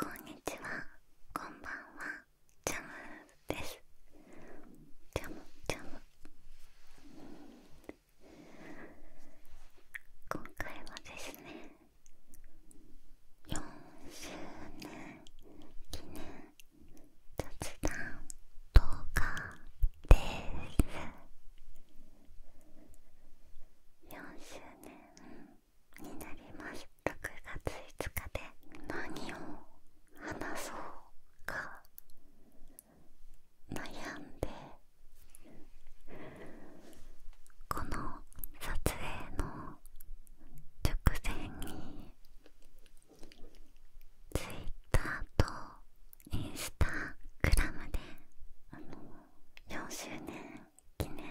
こんにちは、こんばんは、ジャムです。今回はですね、4周年記念雑談動画です。4周年になります9月5日で何を話そうか悩んでこの撮影の直前に Twitter とインスタグラムであの4周年記念に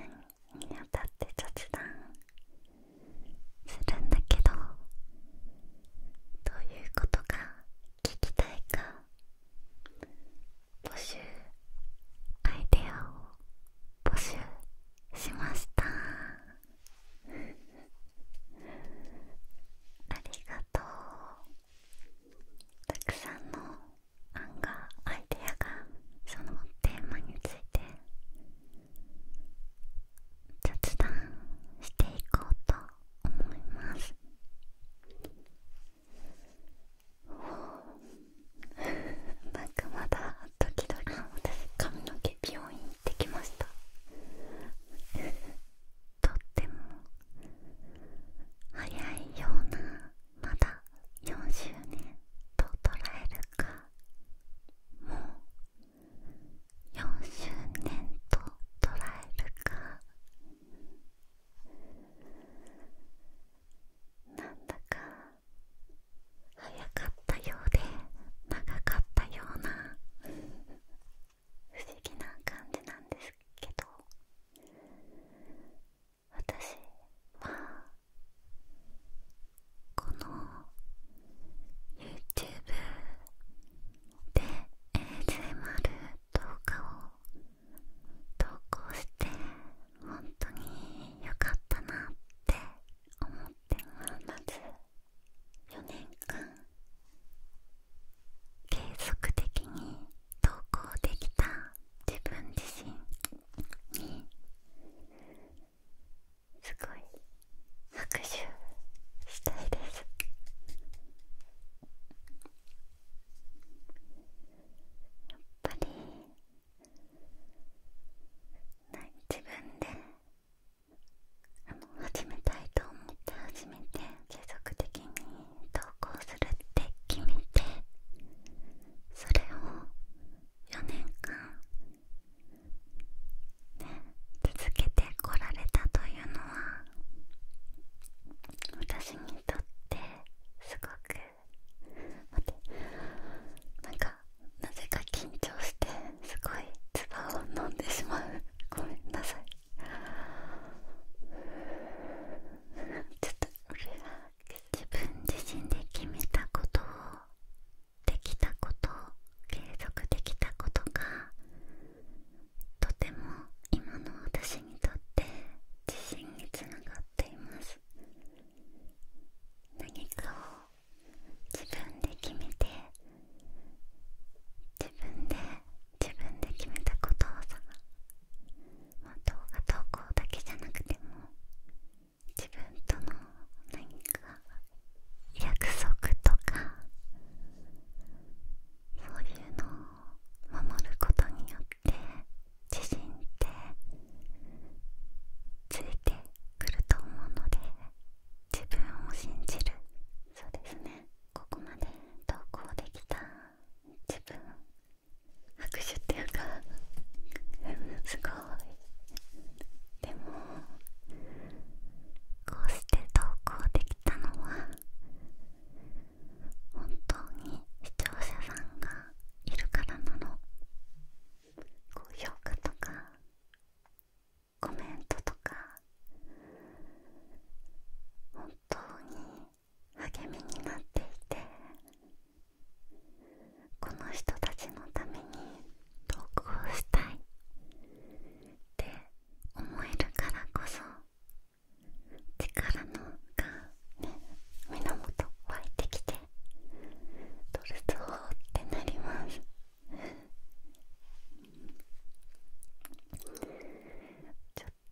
あたって雑談するんだけどどういうことが聞きたいか募集アイデアを募集しました ありがとうたくさんの案がアイデアがそのテーマについて雑談していこうと思います。なんかまだ時々私髪の毛病院行ってきましたとっても早いようなまだ4周年と捉えるかもう4周年と捉えるかなんだか早かったようで長かったような不思議な感じなんですけど私はこの YouTube で ASMR 動画を投稿して本当に良かったなって思ってます。4年間継続的に投稿できた自分自身にすごい拍手したいですやっぱり自分であの始めたいと思って始めて継続的に投稿するって決めてそれを4年間、ね、続けてこられたというのは私にとってすごく待ってなんかなぜか緊張してすごい唾を飲んでしまうごめんなさいちょっと俺は自分自身で決めたことをできたことを継続できたことがとても今の私にとって自信につながっています何かを自分で決めて自分で自分で決めたことをさもう動画投稿だけじゃなくても自分との何か約束とかそういうのを守ることによって自信ってついてくると思うので自分を信じるそうですねここまで投稿できた自分拍手っていうか すごいでもこうして投稿できたのは本当に視聴者さんがいるからなの高評価とかコメントとか本当に励みになっていてこの人たちのために投稿したいって思えるからこそ力がね源湧いてきてドルツホってなります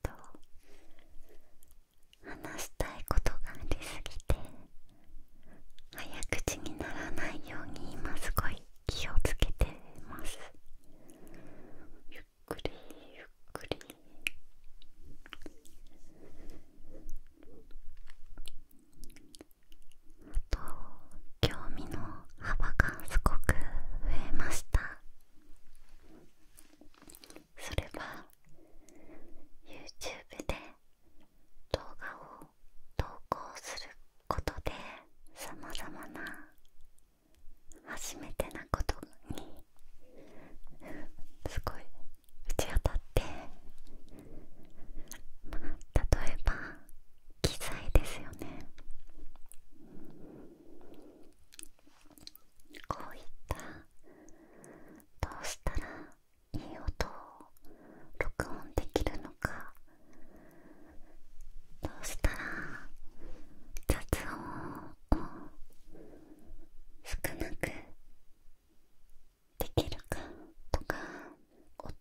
と話したいことがありすぎて早口にならないように今すごい気をつけてますゆっくりゆっくりあと興味の幅がすごく増えましたそれは YouTube で動画を投稿することでさまざまな初めてなことにすごい打ち当たって、例えば機材ですよねこういったどうしたらいい音を録音できるのかどうしたら雑音を少なくできるかとか音を…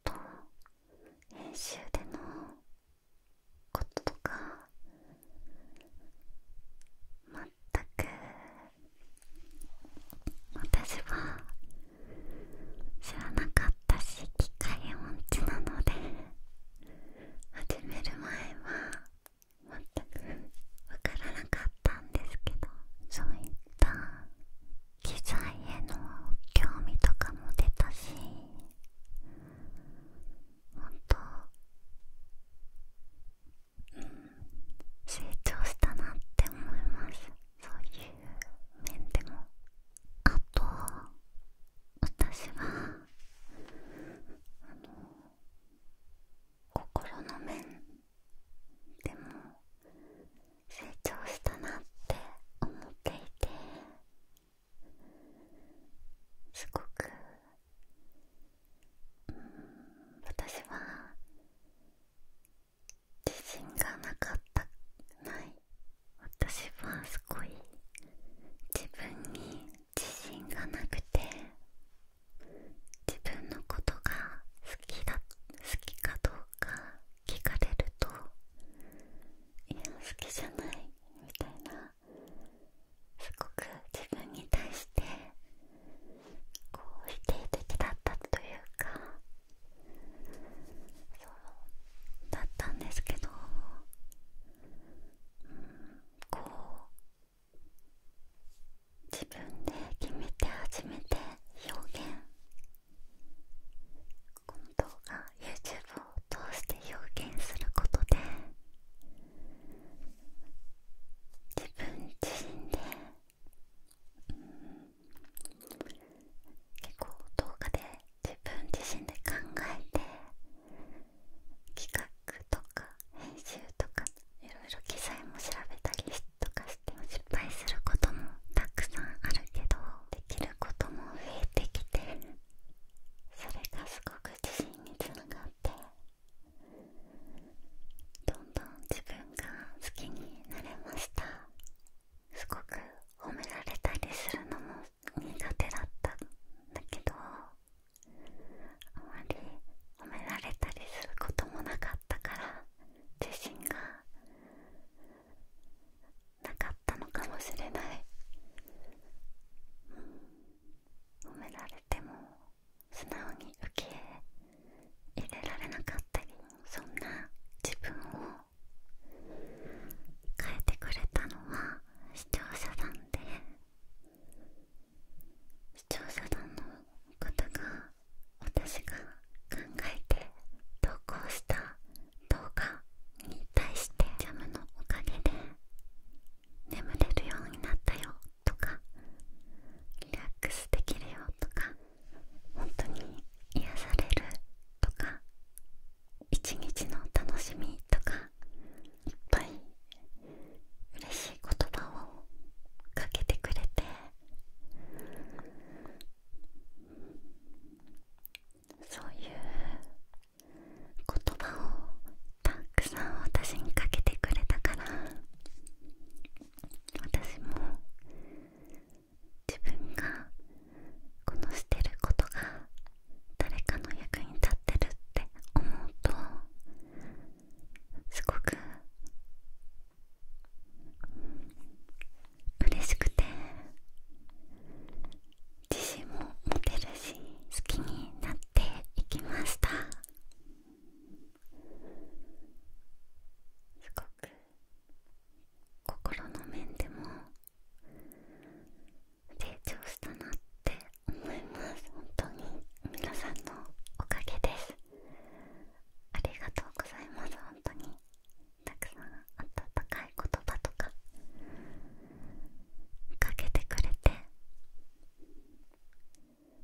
編集でのこととかまく私は知らなかったし機械音痴なので始める前は。全く分からなかったんですけどそういった機材への興味とかも出たしほん成長したなって思いますそういう面でもあと私は心の面でも成長したなって思っていてすごく私は自信がなかったない私はすごい自分に自信がなくて自分のことが好きだ好きかどうか聞かれるといや好きじゃないみたいなすごく自分に対してこう否定的だったというかそうだったんですけど、うん、こう自分で決めて初めて表現この動画 YouTube を通して表現することで自分自身で、うん、結構動画で自分自身で考えて企画とか編集とかいろいろ記載も調べたりとかして失敗することもたくさんあるけどできることも増えてきて。それがすごく自信につながってどんどん自分が好きになれましたすごく褒められたりするのも苦手だったんだけどあまり褒められたりすることもなかったから自信がなかったのかもしれない、褒められても素直に受け入れられなかったりそんな自分を変えてくれたのは視聴者さんで視聴者さんのことが私が考えて投稿した動画に対してジャムのおかげで眠れるようになったよとかリラックスできるよとか本当に癒されるとか一日の楽しみとかいっぱい嬉しい言葉をかけてくれてそういう言葉をたくさん私にかけてくれたから私も自分がこのしてることが誰かの役に立ってるって思うとすごく嬉しくて自信も持てるし好きになっていきましたすごく心の面でも成長したなって思います本当に皆さんのおかげですありがとうございます本当にたくさん温かい言葉とかかけてくれて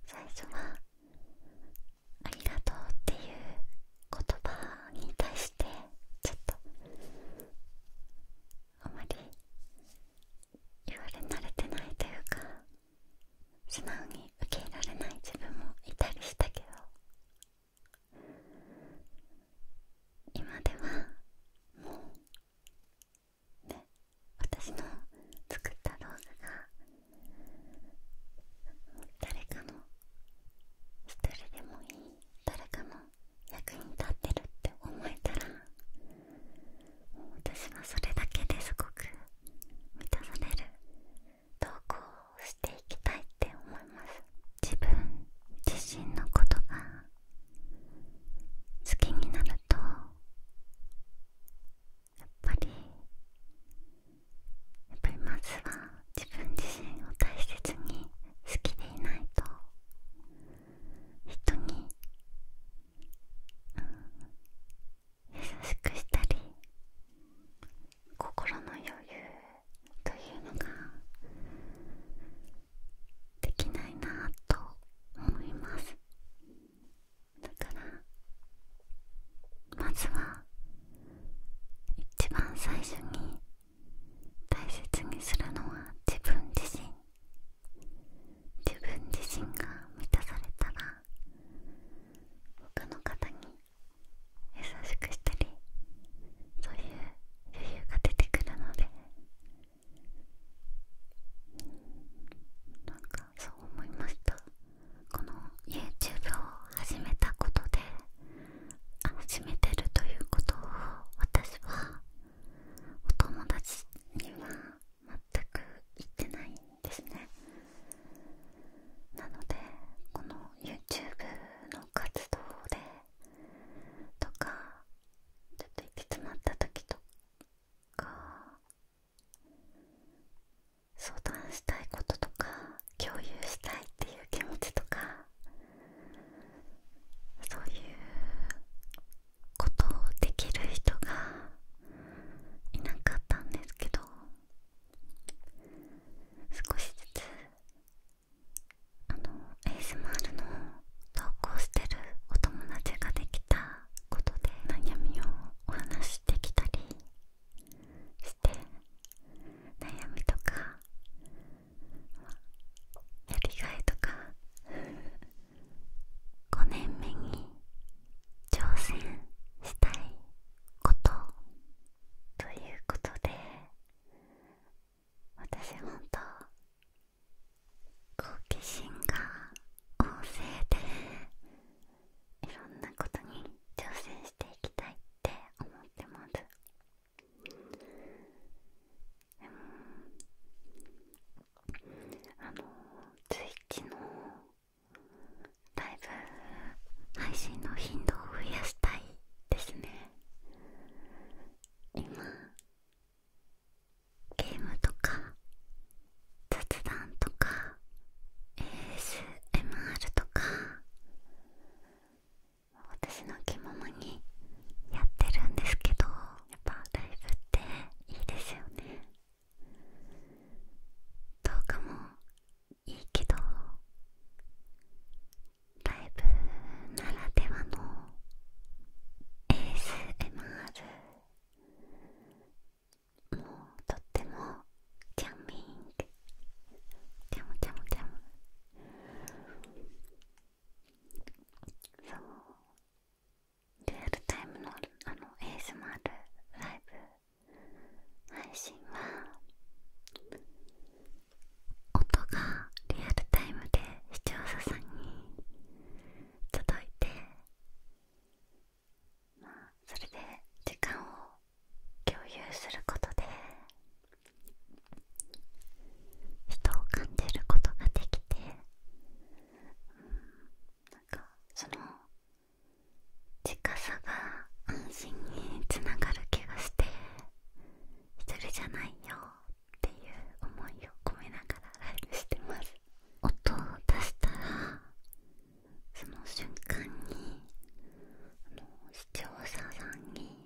最初は「ありがとう」っていう言葉に対してちょっとあまり言われ慣れてないというか素直に受け入れられない自分もいたりしたけど今ではもうで、私の作った動画が誰かの一人でもいい誰かの役に立ってるって思えたら私はそれだけですごく満たされる投稿をしていきたいって思います自分自身のことが好きになるとやっぱりやっぱりまずは自分自身を大切に好きでいないと人に、優しくしたり心の余裕というのができないなと思いますだからまずは一番最初に大切にするのは自分自身自分自身が満たされたら他の方に優しくしたりそういう余裕が出てくるのでなんかそう思いましたこの YouTube を始めたことで始めてるということを私はお友達には全く言ってないんですねなのでこの YouTube の活動でとかちょっと行き詰まった時とか相談したいこととか共有したいっていう気持ちとかそういうことをできる人がいなかったんですけど少しずつあのエースマールの投稿してるお友達ができたことで悩みをお話しできたりして悩みとかやりがいとか5年目に挑戦したいことということで私ほんと好奇心が旺盛でいろんなことに挑戦していきたいって思ってますでもあのツイッチのライブ配信の頻度を増やしたいですね今ゲームとか雑談とか ASMR とか私の着物にやってるんですけどやっぱライブっていいですよね動画もいいけどライブならではの ASMR もうとってもチャーミングチャムチャムチャムそうリアルタイムのあの ASMR ライブ配信は音がリアルタイムで視聴者さんに届いてそれで時間を共有することで人を感じることができてうかその近さが安心につながる気がして一人じゃないよっていう思いを込めながらライブしてます音を出したらその瞬間に視聴者さんに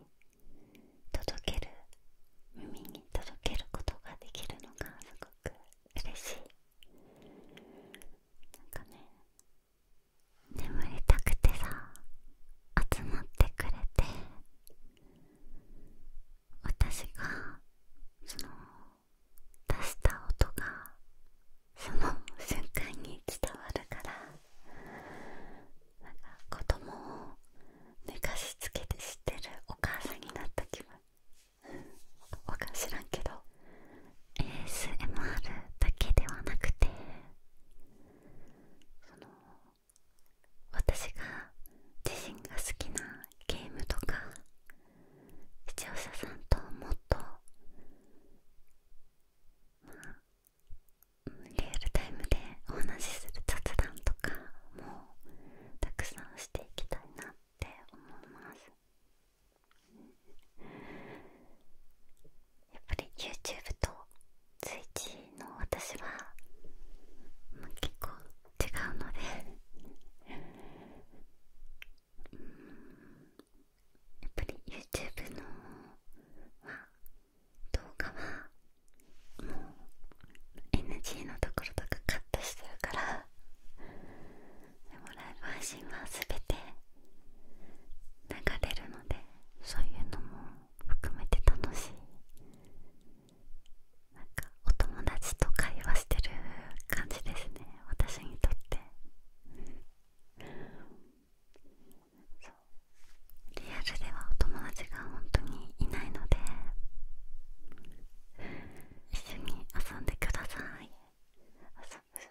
届ける耳に届けることができるのがすごく嬉しいなんかね眠りたくてさ集まってくれて私がその出した音がその瞬間に伝わるからなんか子供を寝かしつけて知ってるお母さんになった気分わか知なんけど ASMR だけではなくてその私が自身が好きなゲームとか視聴者さんともっとまあリアルタイムでお話しする雑談とかもたくさんしていきたいなって思いますやっぱり YouTube とスイッチの私は、結構違うのでうんやっぱり YouTube の、動画はもう NG のところとかカットしてるからでもライブ配信は全て流れるのでそういうのも含めて楽しいなんかお友達と会話してる感じですね私にとってそうリアルではお友達が本当にいないので一緒に遊んでください遊ぶ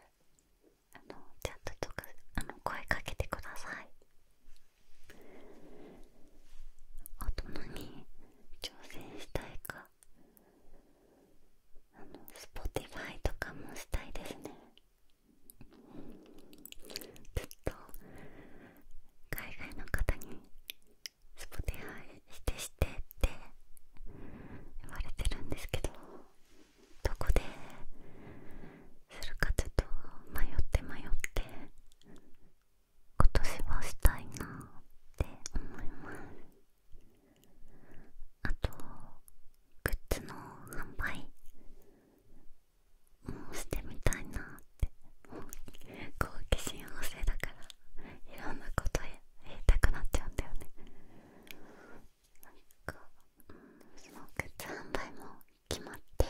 あのちゃんトとかあの声かけてくださいあとに挑戦したいかあの Spotify とかもしたいですねずっと海外の方に Spotify してしてって言われてるんですけどどこでするかちょっと迷って迷って今年はしたいなって思いますあとグッズの販売もしてみたいなって好奇心旺盛だからいろんなこと言いたくなっちゃうんだよねなか、うそのグッズ販売も決まってちょ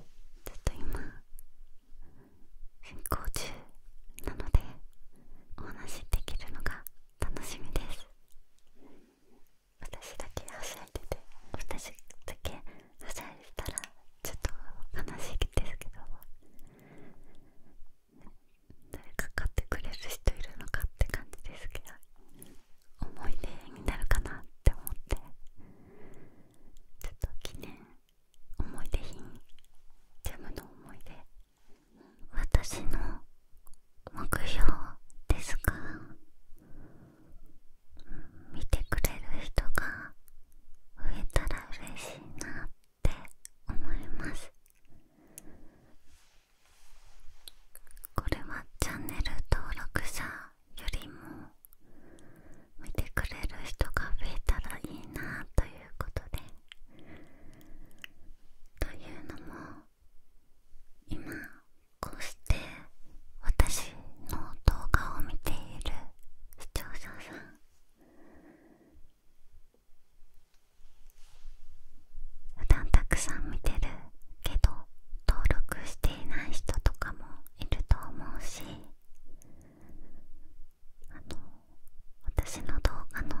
っと今進行中なのでお話できるのが楽しみです私だけはしゃいでて私だけはしゃいでたらちょっと悲しいですけど誰か買ってくれる人いるのかって感じですけど思い出になるかなって思ってちょっと記念思い出品ジャムの思い出私の目標ですが見てくれる人が増えたら嬉しいなって思いますこれはチャンネル登録者よりも見てくれる人が増えたらいいなということでというのも今こうして私の動画を見ている視聴者さん普段たくさん見てるけど登録していない人とかもいると思うしあの私の動画の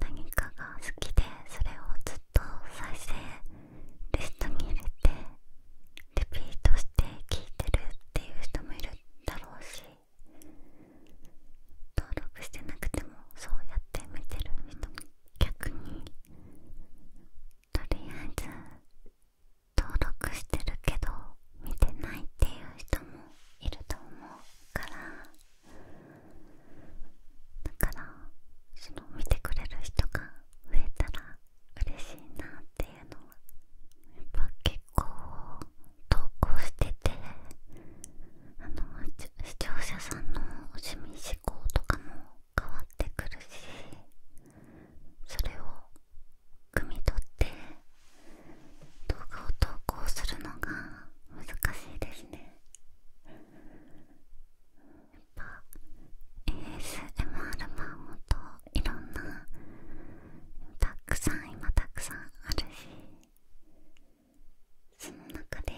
何かが好きでそれをずっと再生リストに入れてリピートして聴いてるっていう人もいるだろうし登録してなくてもそうやって見てる人も逆にとりあえず登録してるけど見てないっていう人もいると思うからだからその見てくれる人が増えたら嬉しいなっていうのはやっぱ結構投稿しててあの視聴者さんの趣味思考とかも変わってくるしそれを汲み取って動画を投稿するのが難しいですねやっぱ ASMR 版もといろんなたくさん今たくさんあるしその中で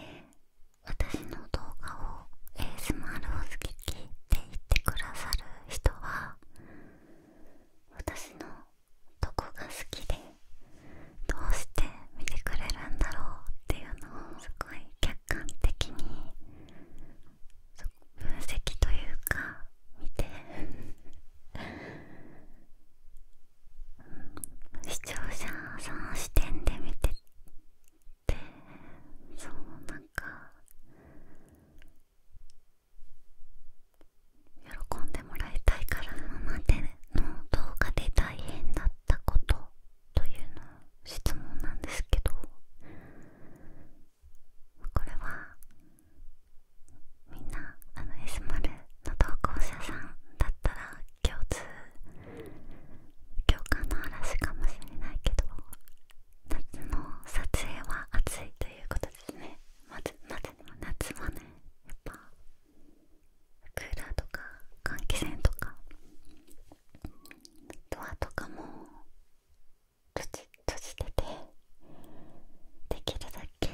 私の動画をエ ASMR を好き聞いて言ってくださる人は私のどこが好きでどうして見てくれるんだろうっていうのをすごい客観的に分析というか見て視聴者さん視点で見てっそう、なんか喜んでもらいたいから今までの動画で大変だったことというの質問なんですけどこれはみんなあの S マルの投稿者さんだったら共通共感の嵐かもしれないけど夏の撮影は暑いということですねまずま夏はねやっぱクーラーとか換気扇とかドアとかも閉じててできるだけ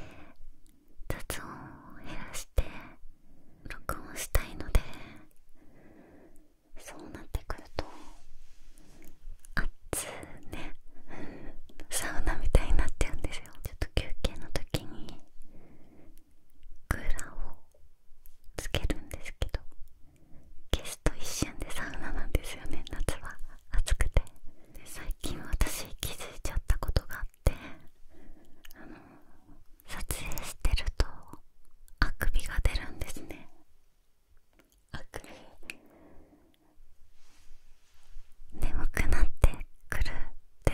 雑音を減らして録音したいのでそうなってくると暑ねサウナみたいになっちゃうんですよちょっと休憩の時にクーラーをつけるんですけどゲスト一瞬でサウナなんですよね夏は暑くてで最近私気づいちゃったことがあってあの撮影してるとあくびが出るんですねあくび眠くなってくるって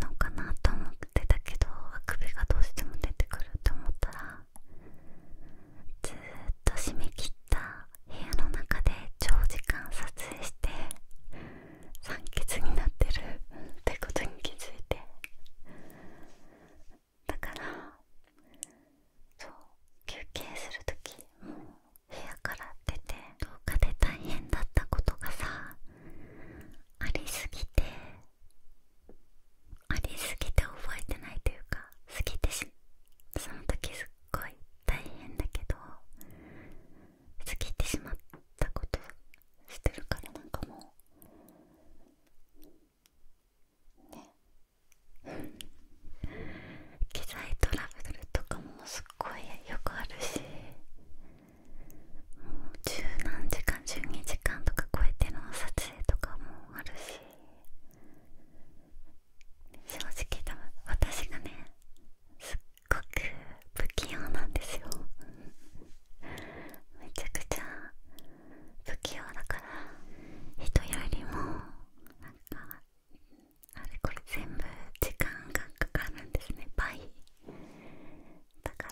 のかなと思ってたけどあくびがどうしても出てくるって思ったらずっと締め切った部屋の中で長時間撮影して酸欠になってるってことに気づいてだからそう休憩する時もう部屋から出て廊下で大変だったことがさありすぎてありすぎて覚えてないというか過ぎてしその時すっごい大変だけど過ぎてしまったことしてるからなんかもうね機材トラブルとかもすっごいよくあるしもう十何時間十二時間とか超えての撮影とかもあるし正直多分私がねすっごく不器用なんですよめちゃくちゃ不器用だから人よりもなんかあれこれ全部時間がかかるんですね倍だか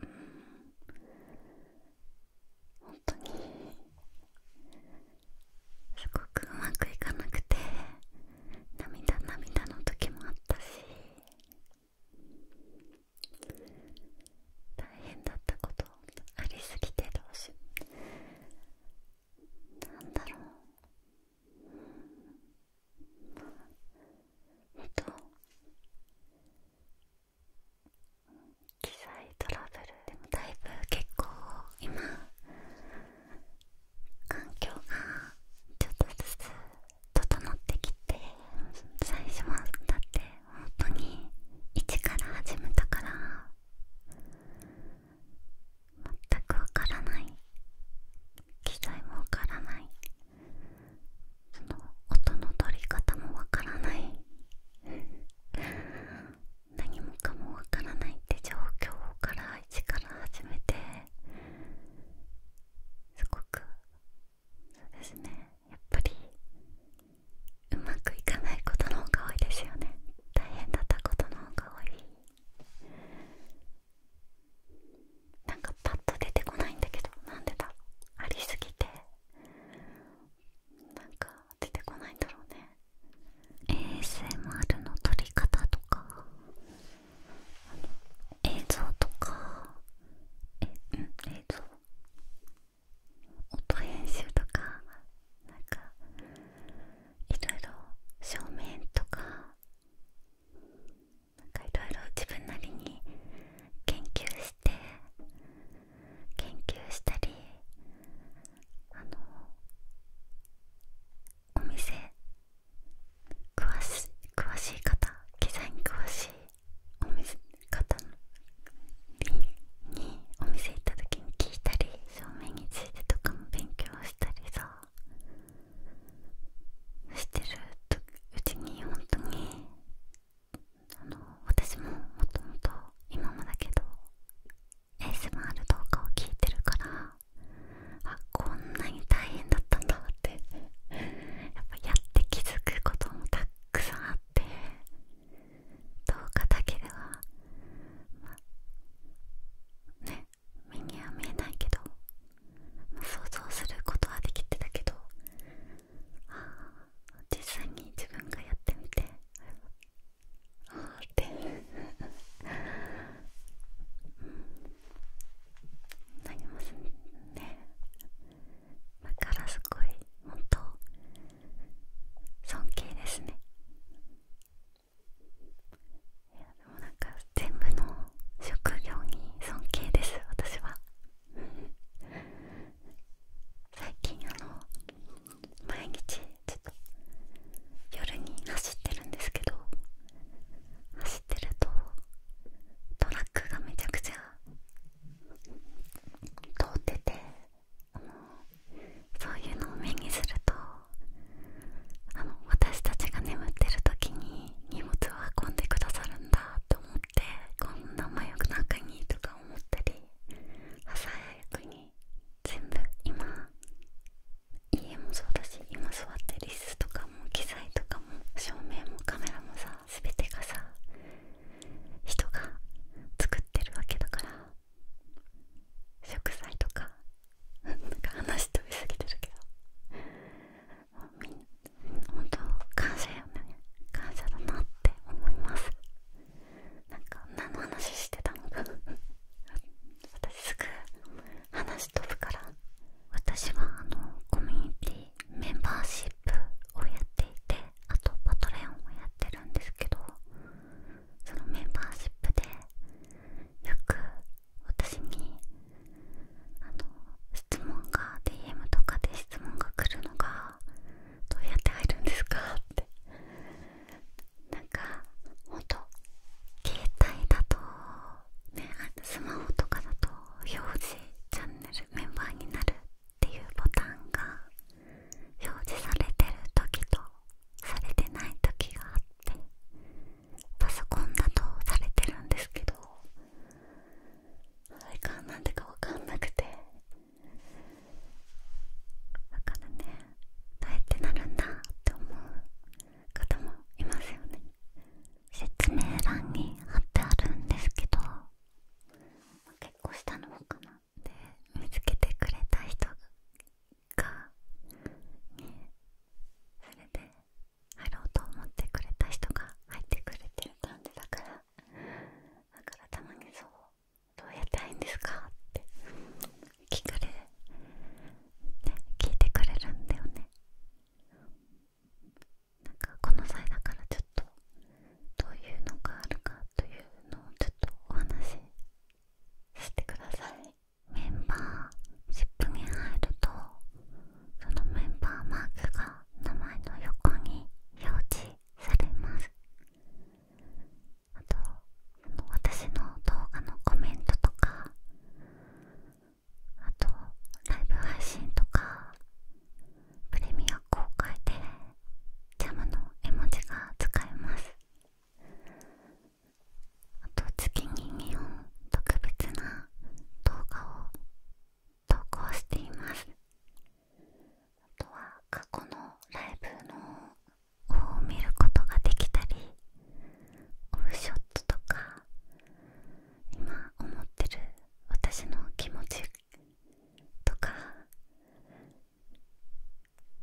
らうん本当にすごくうまくいかなくて涙涙の時もあったし大変だったことありすぎてどうしよなんだろううんまあと機材トラブルでもだいぶ結構今環境がちょっとずつ整ってきて最初はだって本当に一から始めたから全くわからない機材もわからないその音の取り方もわからない 何もかもわからないって状況から一から始めてすごくそうですねやっぱりうまくいかないことの方が多いですよね大変だったことの方が多いなんかパッと出てこないんだけどなんでだろう？ありすぎてなんか出てこないんだろうね ASMR の取り方とか映像とかえうん映像音編集とかなんかいろいろ照明とかなんかいろいろ自分なりに研究して研究したりあのお店詳し詳しい方機材に詳しいお店方にお店行った時に聞いたり照明についてとかも勉強したりさしてるうちに本当にあの私ももともと今もだけど ASMR 動画を聞いてるからあこんなに大変だったんだっっやっぱやって気づくこともたくさんあってどうかだけではまあね目には見えないけど、想像することはできてたけどあ実際に自分がやってみてああってうん なりますねだからすごい本当尊敬ですねいやでもなんか全部の職業に尊敬です私は最近あの毎日ちょっと夜に走ってるんですけど走ってるとトラックがめちゃくちゃ。通っててそういうのを目にするとあの私たちが眠ってる時に荷物を運んでくださるんだって思ってこんな真夜中にとか思ったり朝早くに全部今家もそうだし今座ってリスとかも機材とかも照明もカメラもささ全てがさ人が作ってるわけだから食材とか なか話飛びすぎてるけどみん本当感謝よね感謝だなって思いますなんか何の話してたのか 私すぐ話飛ぶから私はあのコミュニティメンバーシップをやっていてあとパトレオンをやってるんですけどそのメンバーシップでよく私にあの質問が DM とかで質問が来るのがどうやって入るんですかってなんかほんと携帯だとね、あスマホとかだと表示チャンネルメンバーになるっていうボタンが表示されてる時とされてない時があってパソコンだとされてるんですけどあれかなんでかわかんなくてだからねどうやってなるんだって思う方もいますよね説明欄に貼ってあるんですけど結構下の方かなで見つけてくれた人がねそれで入ろうと思ってくれた人が入ってくれてる感じだからだからたまにそう「どうやっているんですか?」って聞かれ、ね、聞いてくれるんだよね。なかこの際だからちょっとどういうのがあるかというのをちょっとお話ししてくださいメンバーシップに入るとそのメンバーマークが名前の横に表示されますあと私の動画のコメントとかあとライブ配信とかプレミア公開でジャムの絵文字が使えますあと月に2本特別な動画を投稿していますあとは過去のライブのを見ることができたりオフショットとか今思ってる私の気持ちとか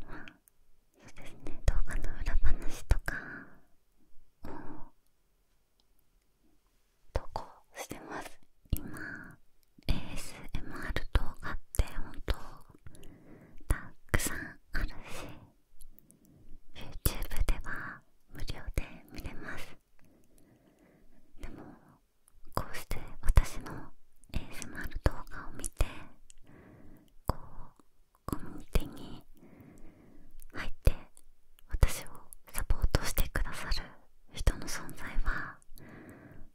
まあそうですね動画の裏話とかを投稿してます今 ASMR 動画って本当たくさんあるし YouTube では無料で見れますでもこうして私の ASMR 動画を見てこうコミュニティに入って私をサポートしてくださる人の存在は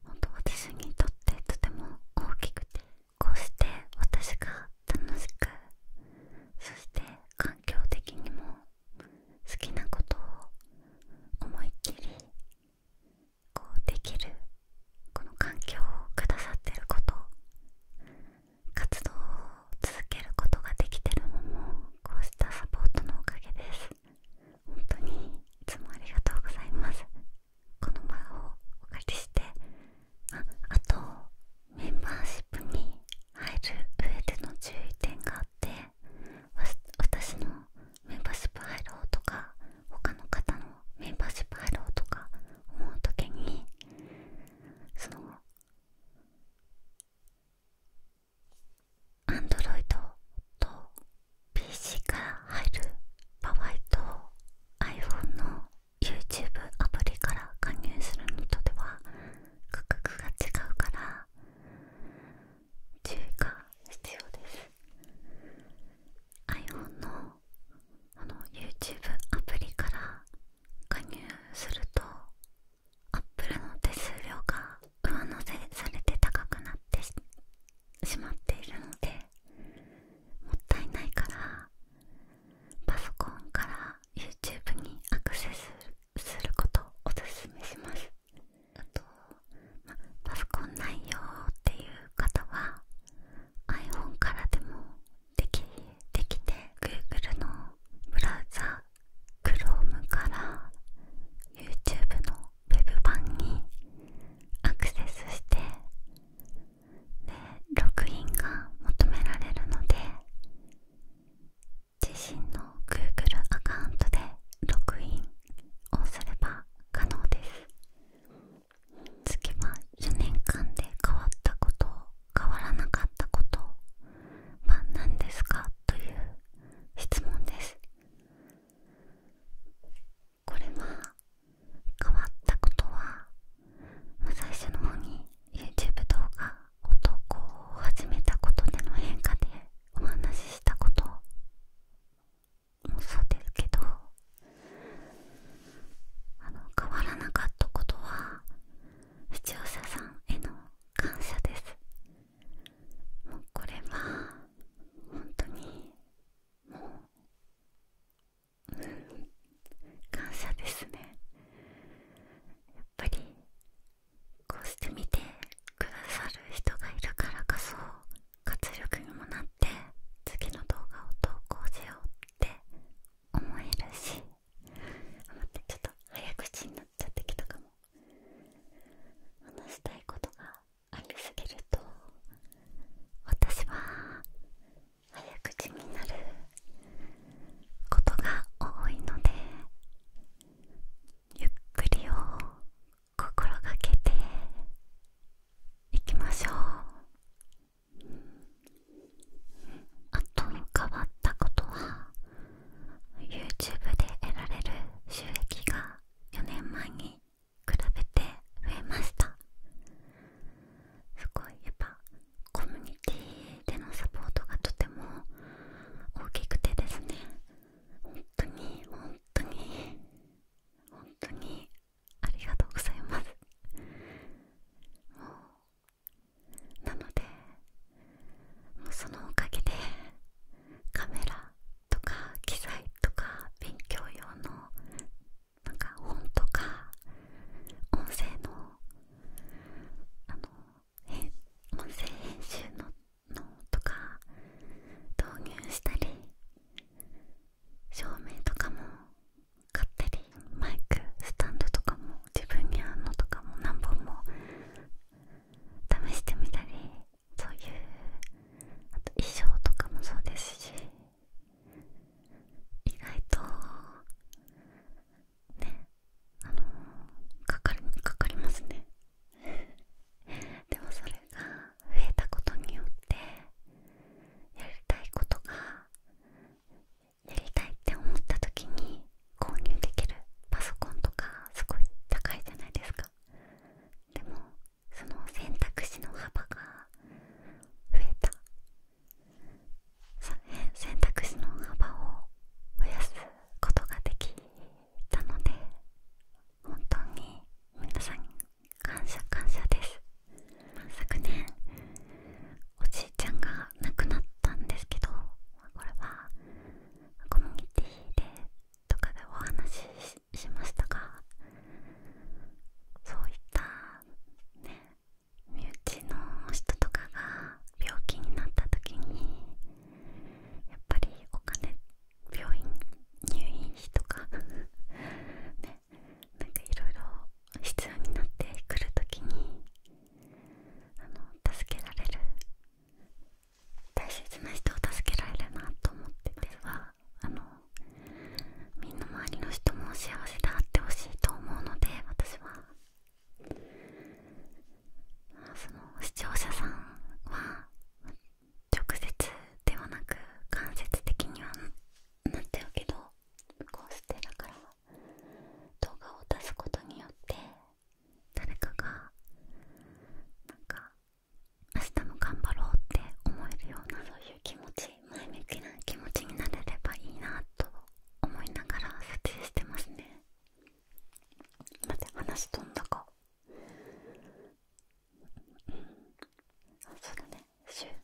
本当私にとってとても大きくてこうして私が楽しくそして環境的にも好きなことを思いっきりこうできるこの環境をくださってること活動を続けることができてるのもこうしたサポートのおかげです本当にいつもありがとうございますこの場をお借りしてああとメンバーシップに入る上での注意点があって私のメンバーシップ入ろうとか他の方のメンバーシップ入ろうとか思う時にそのアンドロイドと PC から入る場合と iPhone の YouTube アプリから加入するのとでは価格が違うから注意が必要です iPhone のあの YouTube アプリから加入すると Apple の手数料が上乗せされて高くなってしまっているのでもったいないからパソコンから YouTube にアクセスすることをおすめしますあと、ま、パソコンないよっていう方は iPhone からでもできできて Google のブラウザ Chrome から YouTube の Web 版にアクセスしてでログインが求められるので自身の Google アカウントでログインをすれば可能です月は4年間で変わったこと変わらなかったことは何ですかという質問ですこれは変わったことは、ま最初の方に YouTube 動画男を始めたことでの変化でお話ししたこともそうですけど変わらなかったことは視聴者さんへの感謝ですもうこれは本当にもう感謝ですねぱりこうして見てくださる人がいるからこそ活力にもなって次の動画を投稿しようって思えるしちょっと早口になっちゃってきたかも話したいことがありすぎると私は早口になる。ことが多いのでゆっくりを心がけていきましょうあと変わったことは YouTube で得られる収益が4年前に比べて増えましたすごいコミュニティでのサポートがとても大きくてですね本当に本当に本当にありがとうございますもうなのでもうそのおかげでカメラとか機材とか勉強用のなか本とか音声のあの音声編集ののとか導入したり照明とかも買ったりマイクスタンドとかも自分に合うのとかも何本も試してみたりそういうあと衣装とかもそうですし意外とねあのかかるかかりますね でもそれが増えたことによってやりたいことがやりたいって思った時に購入できるパソコンとかすごい高いじゃないですかでもその選択肢の幅が増えた選択肢の幅を増やすことができたので本当に皆さん感謝感謝です昨年おじいちゃんが亡くなったんですけどこれはコミュニティでとかでお話ししましたがそういったね身内の人とかが病気になった時にやっぱりお金病院入院費とか ねなんかいろいろ必要になってくる時に助けられる大切な人を助けられるなと思っててはあのみんな周りの人も幸せであってほしいと思うので私はその視聴者さんは直接ではなく間接的にはなっちゃうけどこうしてだから動画を出すことによって誰かがなんか明日も頑張ろうって思えるようなそういう気持ち前向きな気持ちになれればいいなと思いながら撮影してますね。待って話飛んだかうんそうだね週で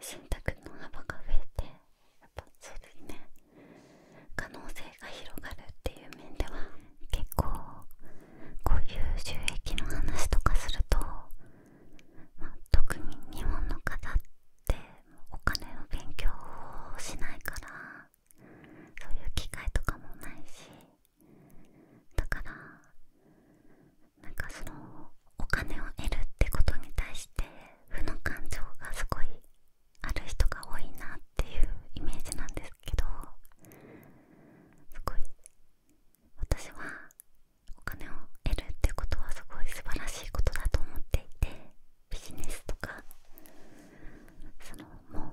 選択の幅が増えてやっぱそうですね可能性が広がるっていう面では結構こういう収益の話とかすると、ま特に日本の方ってお金を勉強をしないからそういう機会とかもないしだからなんかそのお金を得るってことに対して負の感情がすごいある人が多いなっていうイメージなんですけどすごい私はお金を得るってことはすごい素晴らしいことだと思っていてビジネスとかそのも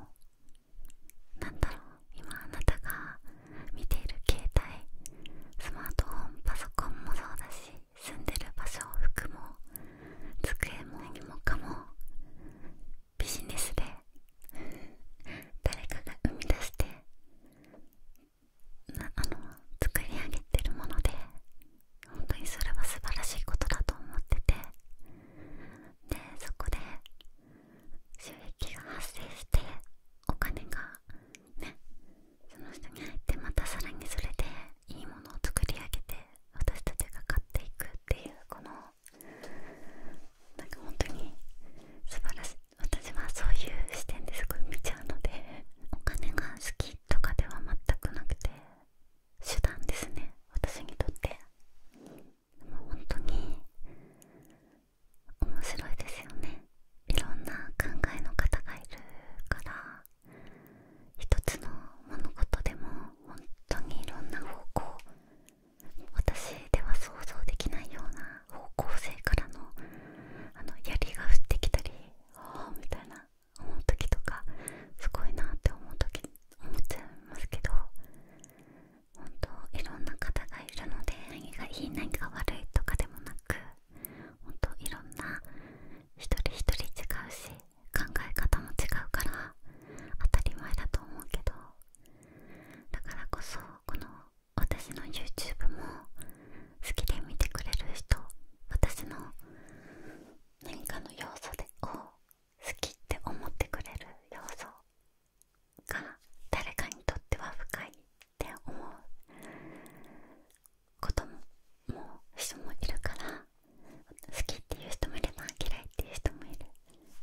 うなんだろう今あなたが見ている携帯スマートフォンパソコンもそうだし住んでる場所服も机も荷物かもビジネスで 誰かが生み出してあの作り上げてるもので本当にそれは素晴らしいことだと思っててでそこで収益が発生してお金がねその人に入ってまたさらにそれでいいものを作り上げて私たちが買っていくっていうこのなんか本当に素晴らしい私はそういう視点ですごい見ちゃうのでお金が好きとかでは全くなくて手段ですね私にとってもう本当に面白いですよねいろんな考えの方がいるから一つの物事でも本当にいろんな方向私では想像できないような方向性からのあの槍が降ってきたりああみたいな思う時とかすごいなって思う時思っちゃいますけど本当いろんな方がいるので何がいい何が悪いとかでもなくほんといろんな一人一人違うし考え方も違うから当たり前だと思うけどだからこそこの私の YouTube も好きで見てくれる人私の何かの要素でを好きって思ってくれる要素が誰かにとっては深いって思うことも人もいるから好きっていう人もいれば嫌いっていう人もいる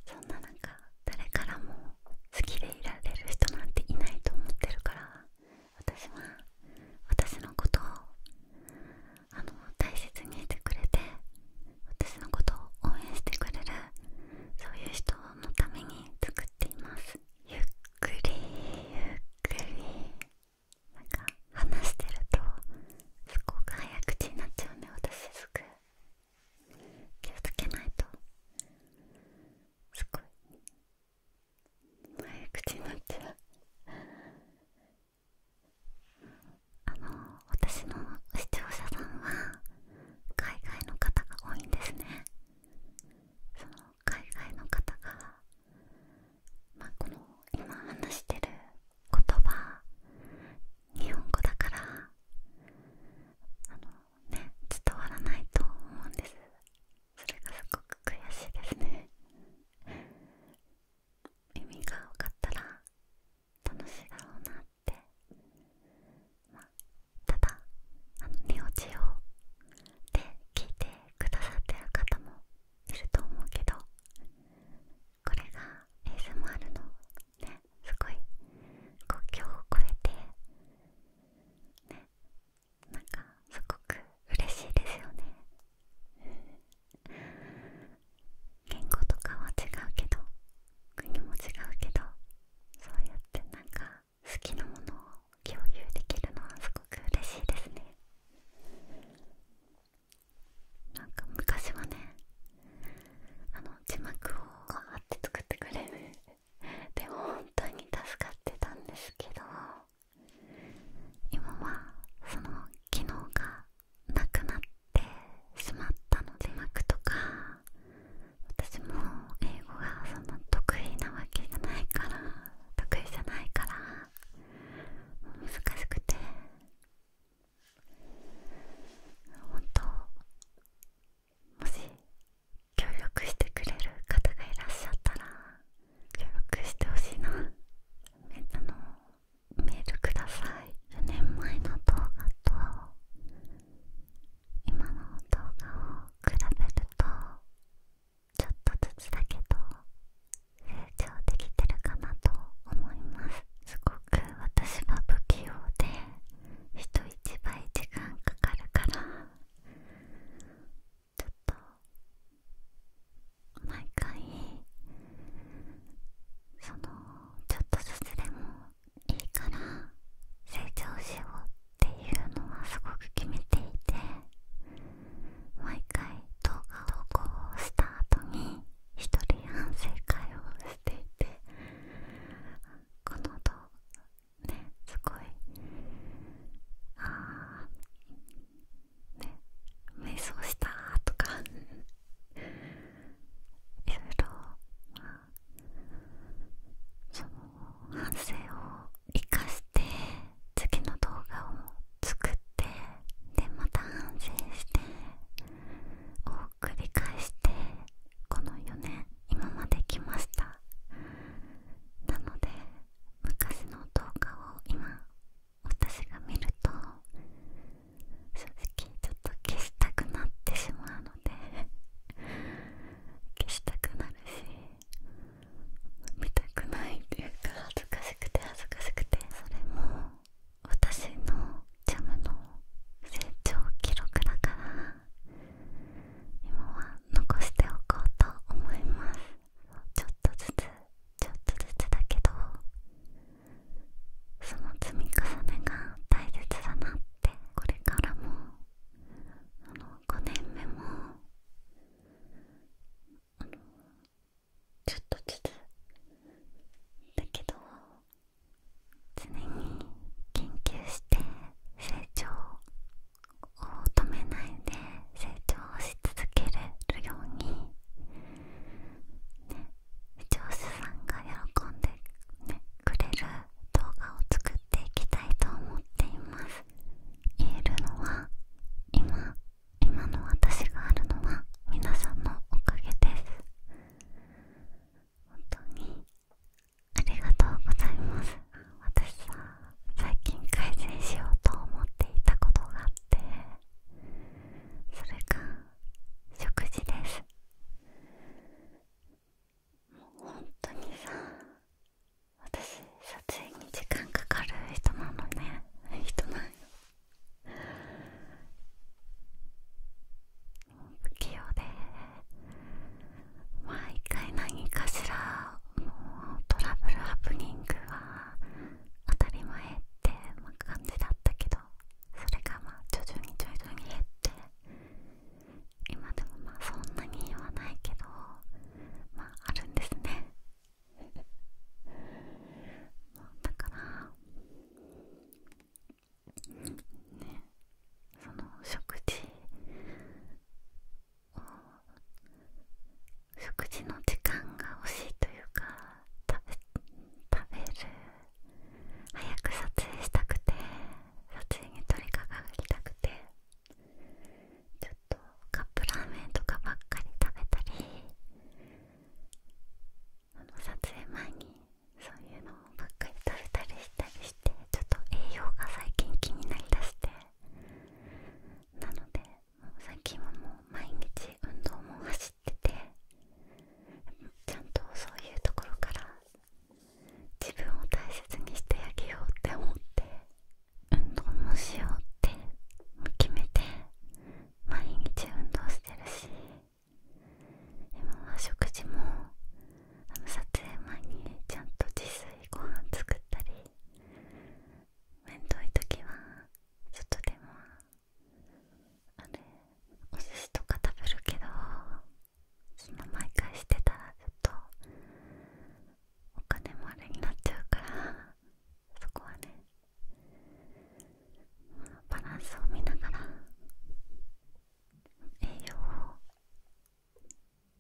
そんななか誰からも好きでいられる人なんていないと思ってるから私は私のことをあの大切にしてくれて私のことを応援してくれるそういう人のために作っていますゆっくりゆっくりなか話してるとすごく早口になっちゃうね私すぐ気をつけないとすごい早口になっちゃうあの私の視聴者さんは海外の方が多いんですねその海外の方が、まあ、この今話してる言葉日本語だからあのね伝わらないと思うんですそれがすごく悔しいですね耳が多かったら楽しいだろうなって、まただあの寝落ちをで聞いてくださってる方もいると思うけどこれが ASMR のねすごい国境を越えてねなんかすごく嬉しいですよね言語とかは違うけど国も違うけどそうやってなんか好きなものを共有できるのはすごく嬉しいですねなんか昔はね字幕をあって作ってくれる でも本当に助かってたんですけど今はその機能がなくなってしまったの字幕とか私も英語がそんな得意なわけじゃないから得意じゃないから難しくて本当もし協力してくれる方がいらっしゃったら記録してほしいなあのメールください4年前の動画と今の動画を比べるとちょっとずつだけど成長できてるかなと思いますすごく私は不器用で人一倍時間かかるからちょっと毎回そのちょっとずつでもいいから成長しようっていうのはすごく決めていて毎回動画投稿をした後に1人反省会をしていてこの動画ねすごいああね瞑想したとかいろいろその反省を生かして次の動画を作ってでまた反省してを繰り返してこの4年今まで来ましたなので昔の動画を今私が見ると正直ちょっと消したくなってしまうので消したくなるし見たくないっていうか恥ずかしくて恥ずかしくてそれも私のジャムの成長記録だから今は残しておこうと思いますちょっとずつちょっとずつだけどその積み重ねが大切だなってこれからもあの5年目もあのちょっとずつだけど常に研究して成長を止めないで成長し続けるように、視聴者さんが喜んで、くれる動画を作っていきたいと思っています言えるのは今今の私があるのは皆さんのおかげです本当にありがとうございます私さ最近改善しようと思っていたことがあってそれが食事ですもう本当にさ私撮影に時間かかる人なのね人なんよ不器用で毎回何かしらもトラブルハプニングは当たり前って、感じだったけどそれがまあ徐々に徐々に減って今でもまあそんなに言わないけどまああるんですねだからねその食事食事の時間が惜しいというか食べる早く撮影したくて撮影に取り掛かりたくてちょっとカップラーメンとかばっかり食べたりあの撮影前にそういうのばっかり食べたりしたりしてちょっと栄養が最近気になりだしてなので最近はもう毎日運動も走っててちゃんとそういうところから自分を大切にしてあげようって思って運動もしようって決めて毎日運動してるし今は食事もあの撮影前にちゃんと自炊ご飯作ったりめんどい時はちょっとでもあれお寿司とか食べるけどその毎回してたらちょっとお金もあれになっちゃうからそこはねバランスを見ながら栄養を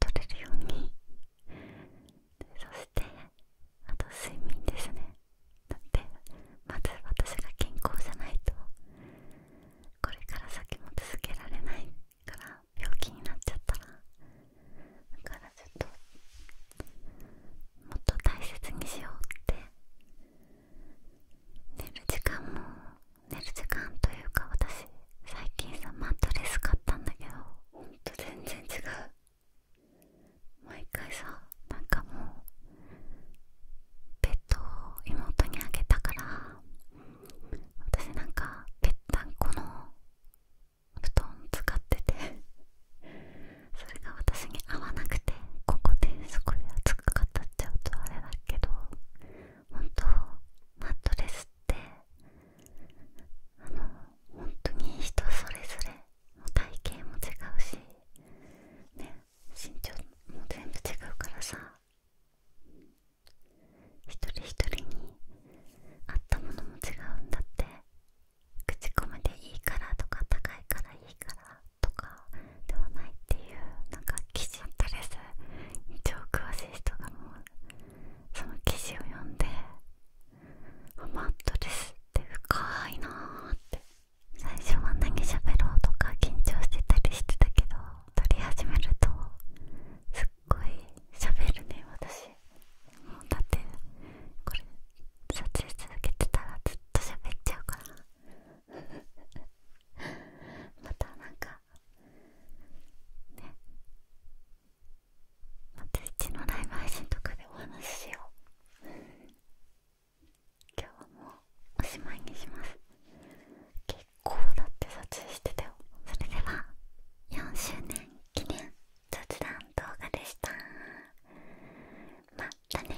取れるようにそしてあと睡眠ですねだってまず私が健康じゃないとこれから先も続けられないから病気になっちゃったらだからちょっともっと大切にしようって寝る時間も寝る時間というか私最近さマットレス買ったんだけどほんと全然違う毎回さなんかもうベッドを妹にあげたから私なんかぺったんこの布団使っててそれが私に合わなくてここでそこで熱く語っちゃうとあれだけど本当マットレスってあの本当に人それぞれ体型も違うしね身長も全部違うからさ一人一人に合ったものも違うんだって口コミでいいからとか高いからいいからとかではないっていうなんか記事とりあえ一応詳しい人がもうその記事を読んでマットレスって深いなーって最初は何喋ろうとか緊張してたりしてたけど撮り始めるとすっごい喋るね私もうだってこれ撮影続けてたらずっと喋っちゃうから またなんかねまたうちのライブ配信とかでお話ししよう今日はもうおしまいにします結構だって撮影してたよそれでは4周年記念雑談動画でしたまたね